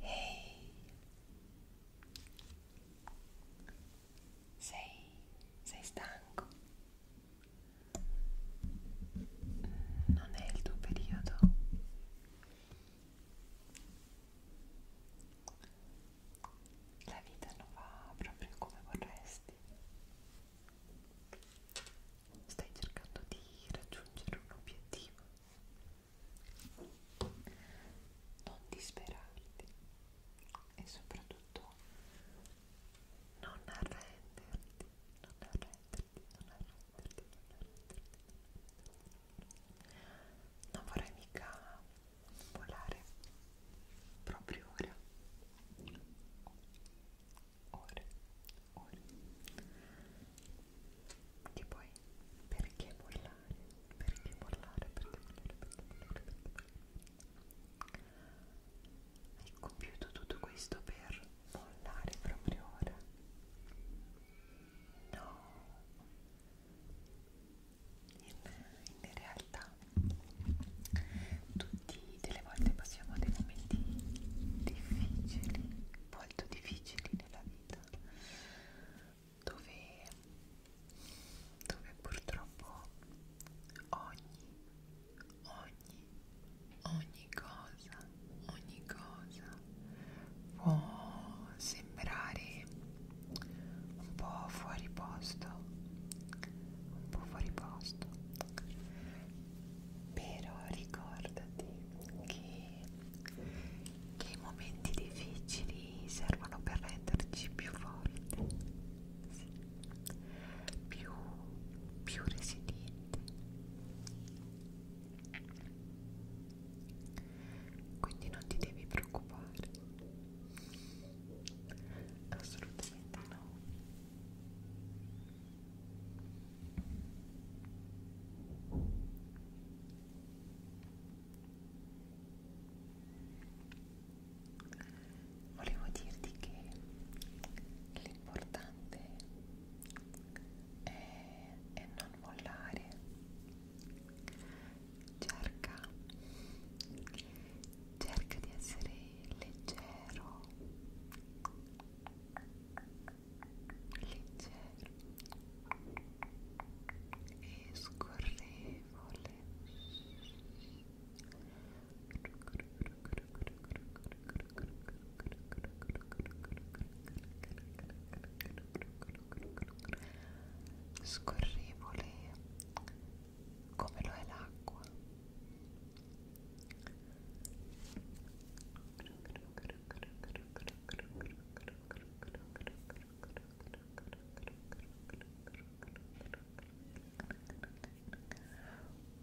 Ehi, sei, sei stanco? Non è il tuo periodo? La vita non va proprio come vorresti. Stai cercando di raggiungere un obiettivo non disperarti e soprattutto non arrenderti, non arrenderti, non arrenderti, non arrenderti. Non vorrei mica volare proprio ora. Ora, ora che poi perché mollare perché mollare perché mollare perché mollare hai compiuto tutto questo per mollare proprio ora no in, in realtà tutti delle volte passiamo a dei momenti difficili molto difficili nella vita dove, dove purtroppo ogni, ogni, ogni cosa, ogni cosa può sembrare un po' fuori posto, un po' fuori posto, però ricordati che che i momenti difficili servono per renderci più forti, sì. più, più resilienti. Quindi non ti devi preoccupare, assolutamente no. Volevo dirti che l'importante è, è non mollare, cerca, cerca di essere leggero leggero e scorrevole scorrevole come lo è l'acqua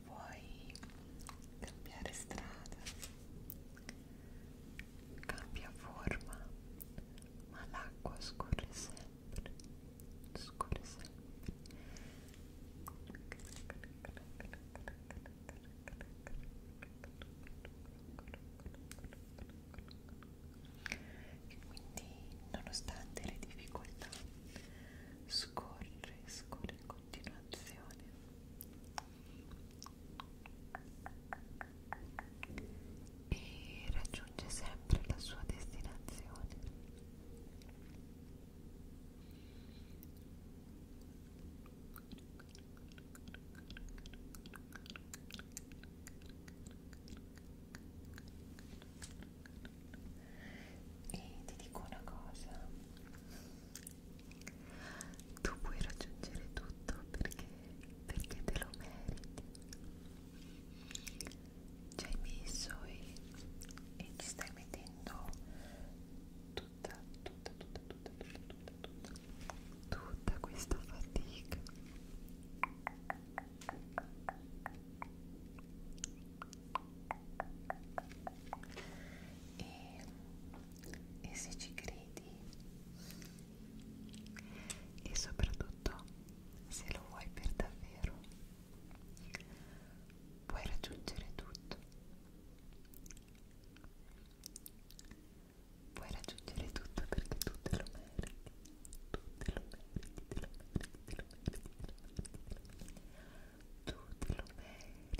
Vuoi cambiare strada? Cambia forma, ma scorre sempre, scorre sempre. E quindi, nonostante le difficoltà, scorre, scorre in continuazione. E raggiunge sempre la sua destinazione. E ti dico una cosa, tu puoi raggiungere tutto perché, perché te lo meriti. Ci hai messo e, e ti stai mettendo tutto tutta, tutta, tutta, tutta, tutta, tutta, tutta, tutta questa fatica e, e se ci credi e soprattutto se lo vuoi per davvero puoi raggiungere tutto Puoi raggiungere tutto perché tu te lo meriti, tu te lo meriti, te lo meriti, te lo meriti, te lo meriti, tu te lo meriti. Sì.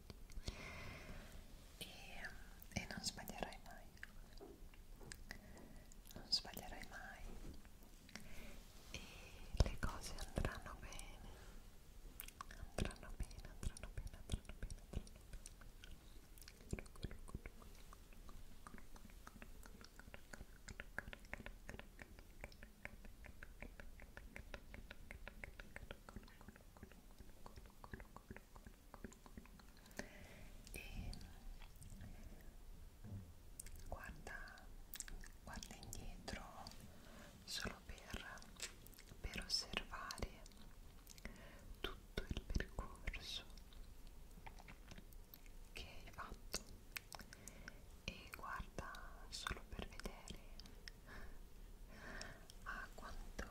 e, ehm, e non sbaglierai mai non sbaglierai mai e le cose andranno bene andranno bene andranno bene andranno bene andranno bene e guarda, guarda indietro solo per, per osservare tutto il percorso che hai fatto e guarda solo per vedere a quanto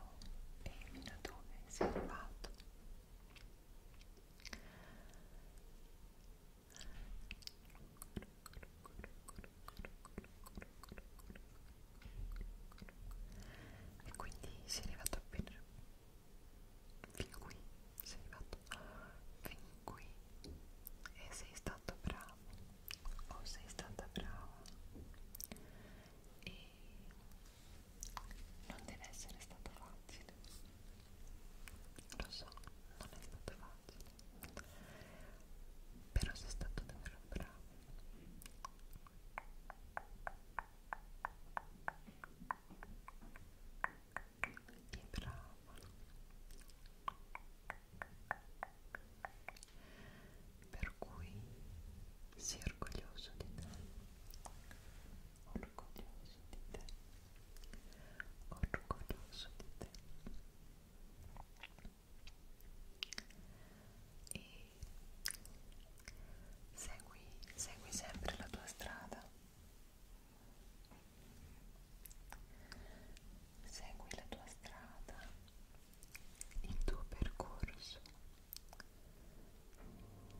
e fino a dove sei arrivato e quindi sei arrivato appena fin qui sei arrivato fin qui e sei stato bravo o sei stata brava e non deve essere stato facile lo so non è stato facile però sei stato davvero bravo e brava per cui sii orgoglioso di te orgoglioso di te orgoglioso di te e segui, segui sempre la tua strada segui la tua strada, il tuo percorso,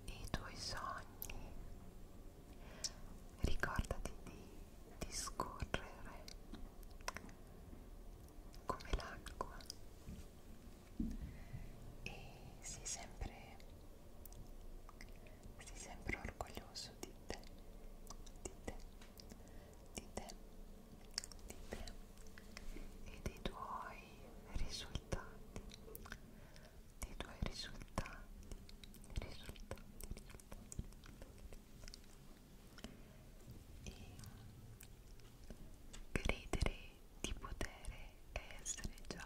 i tuoi sogni. Ricordati di discorrere come l'acqua e sii sempre, sii sempre orgoglioso di te, di te di te, di te e dei tuoi risultati, dei tuoi risultati, risultati, risultati. E credere di poter essere già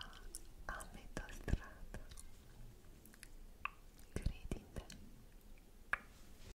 a metà strada. Credi in te,